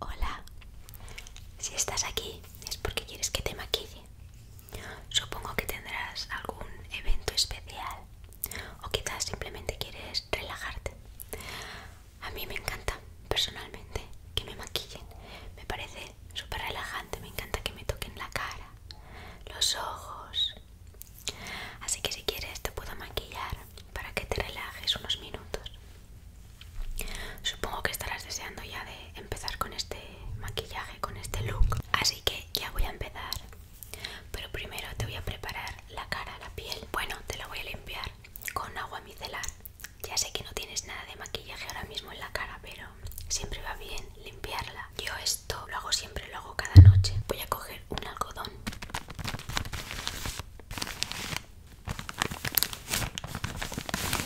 Hola, si estás aquí es porque quieres que te maquille. Supongo que tendrás algún evento especial o quizás simplemente quieres relajarte. A mí me encanta personalmente que me maquillen, me parece súper relajante, me encanta que me toquen la cara, los ojos. Así que si quieres te puedo maquillar para que te relajes unos minutos. Supongo que estarás deseando ya de empezar con este maquillaje, con este look. Así que ya voy a empezar. Pero primero te voy a preparar la cara, la piel. Bueno, te la voy a limpiar con agua micelar. Ya sé que no tienes nada de maquillaje ahora mismo en la cara, pero siempre va bien limpiarla. Yo esto lo hago siempre, lo hago cada noche. Voy a coger un algodón.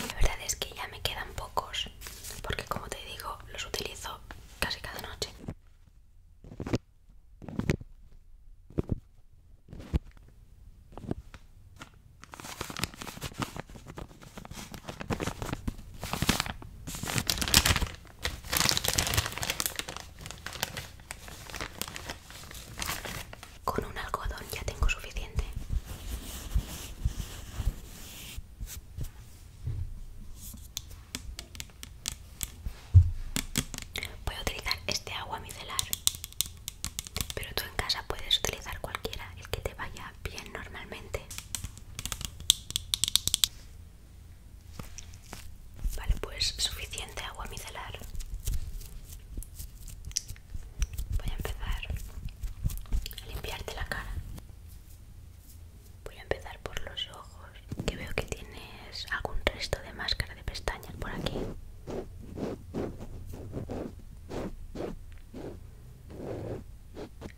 La verdad es que ya me quedan pocos, porque como te digo, los utilizo casi cada noche. Con un algodón ya tengo suficiente. Voy a utilizar este agua micelar pero tú en casa puedes utilizar cualquiera, el que te vaya bien normalmente. Vale, pues suficiente agua micelar. Voy a empezar a limpiarte la cara. Voy a empezar por los ojos, que veo que tienes algún resto de máscara de pestañas por aquí.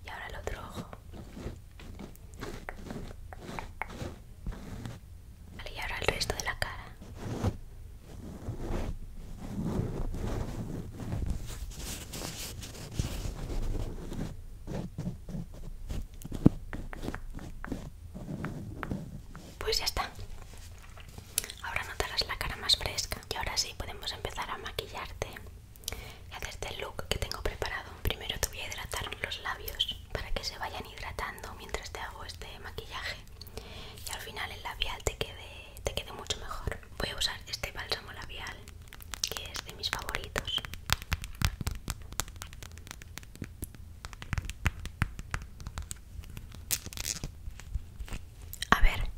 Y ahora el otro ojo. y ahora el resto de la cara. Pues ya está. Ahora notarás la cara más fresca y ahora sí podemos empezar a maquillarte y hacerte el look que tengo preparado. Primero te voy a hidratar los labios para que se vayan hidratando mientras te hago este maquillaje y al final el labial te quede, te quede mucho mejor. Voy a usar este bálsamo labial que es de mis favoritos. A ver.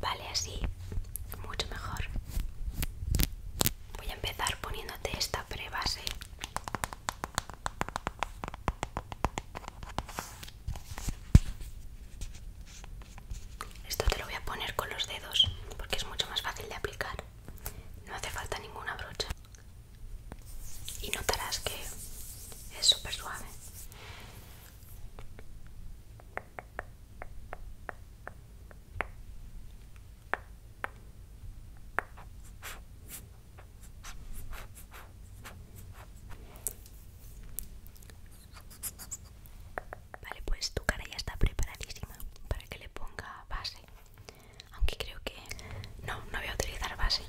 Vale, así. Mucho mejor. Voy a empezar poniéndote esta prebase esto te lo voy a poner con los dedos porque es mucho más fácil de aplicar. No hace falta ninguna brocha. Y notarás que es súper suave. Vale, pues tu cara ya está preparadísima para que le ponga base. Aunque creo que... No, no voy a utilizar base.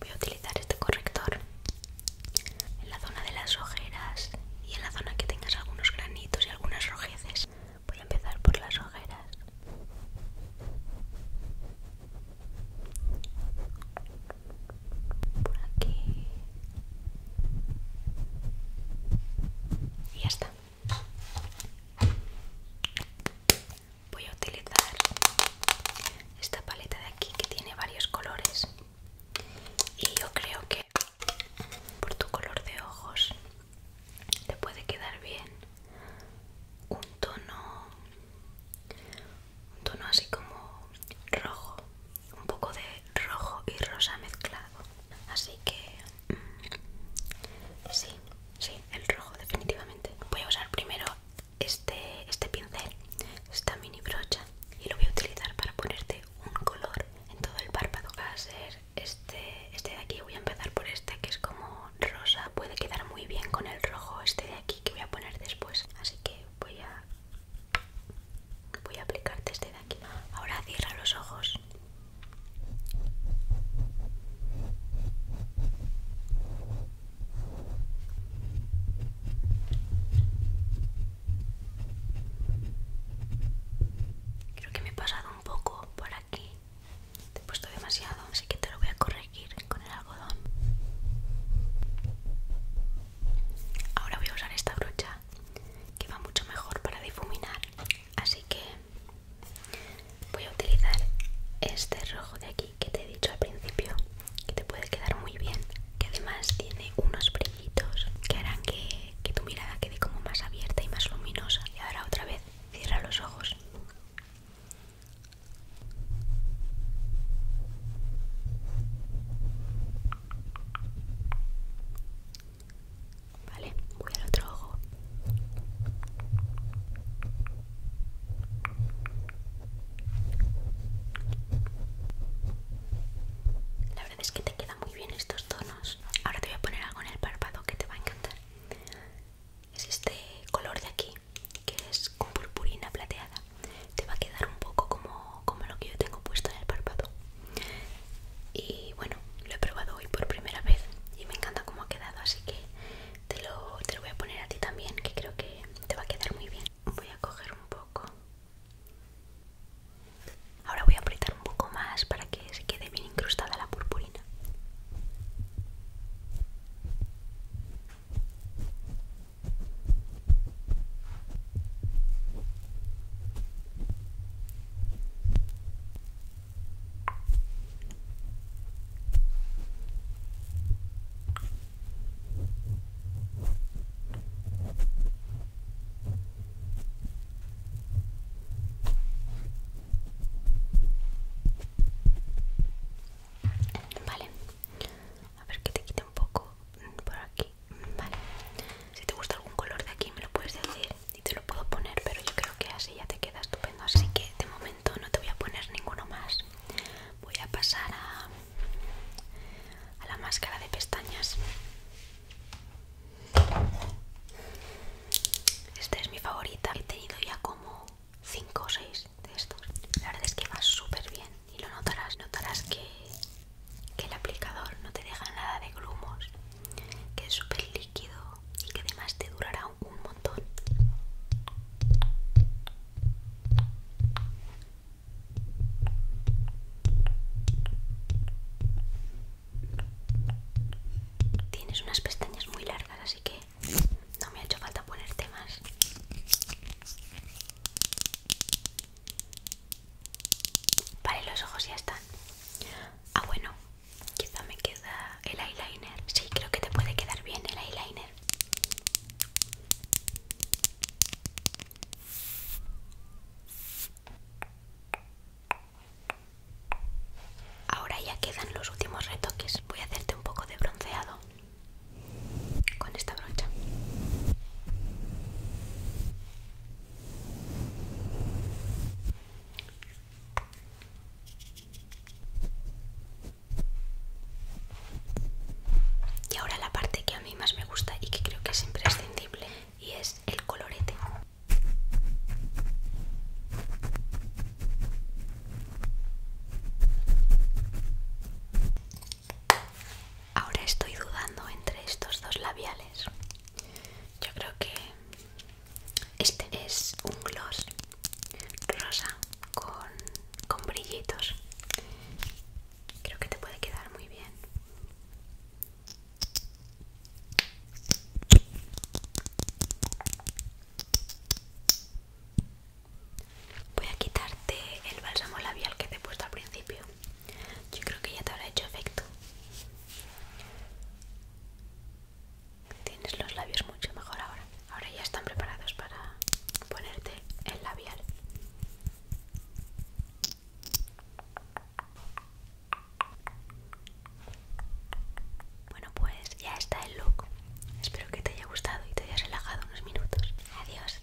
Voy a utilizar este corrector en la zona de las ojeras y en la zona que tengas algunos granitos y algunas rojeces. Voy a empezar por las ojeras aquí y ya está voy a utilizar esta paleta de aquí que tiene varios colores y yo creo que por tu color de ojos te puede quedar bien un tono un tono así como rojo un poco de rojo y rosa mezclado así que mm, sí sí el rojo definitivamente voy a usar primero este este pincel esta mini brocha y lo voy a utilizar para ponerte un color en todo el párpado va a ser este, este de aquí, voy a empezar por este que es como rosa, puede quedar muy bien con el rojo este de aquí que voy a poner después. Así que voy a voy a aplicarte este de aquí. Ahora cierra los ojos. Creo que me he pasado un poco por aquí te he puesto demasiado, así que te lo voy a corregir con el algodón. Ahora voy a usar esta brocha que va mucho mejor para difuminar. Así que voy a utilizar este rojo de aquí que te he dicho al principio, que te puede quedar muy bien. Que además tiene unos brillitos que harán que, que tu mirada quede como más abierta y más luminosa. Y ahora otra vez Cierra los ojos. Vale, voy al otro ojo. La verdad es que te quedan muy bien estos tonos. Ahora te voy a poner algo en el párpado que te va a encantar es este color de aquí que es con purpurina plateada te va a quedar un poco como, lo que yo tengo puesto en el párpado y bueno lo he probado hoy por primera vez y me encanta cómo ha quedado así que te lo, te lo voy a poner a ti también que creo que te va a quedar muy bien voy a coger un poco Ahora voy a apretar un poco más para que se quede bien incrustada la purpurina. Vale, a ver que te quite un poco por aquí. Vale, si te gusta algún color de aquí, me lo puedes decir y te lo puedo poner, pero yo creo que así ya te queda estupendo. Así que de momento no te voy a poner ninguno más. Voy a pasar a, a la máscara de pestañas. Esta es mi favorita. He tenido ya como 5 o 6 de estos. La verdad es que va súper bien y lo notarás. Notarás que, el aplicador no te deja nada de grumos, que es súper líquido y que además te durará un montón. Tienes unas pestañas muy largas, así que no me ha hecho falta ponerte más. Vale, los ojos ya están. Ah, bueno, quizá me queda el eyeliner. Sí, creo que te puede quedar bien el eyeliner. Ahora ya quedan los últimos retoques. Voy a hacerte un poco de bronceado con esta brocha. Y ahora la parte que a mí más me gusta y que creo que es imprescindible y es el colorete. Ahora estoy dudando entre estos dos labiales. Yo creo que este es un gloss rosa con, con brillitos Creo que te puede quedar muy bien. Voy a quitarte el bálsamo labial que te he puesto al principio. Yo creo que ya te habrá hecho efecto. Tienes los labios mucho mejor ahora. Ahora ya están preparados para ponerte el labial. Bueno, pues ya está el look. Espero que te haya gustado y te hayas relajado unos minutos. Adiós.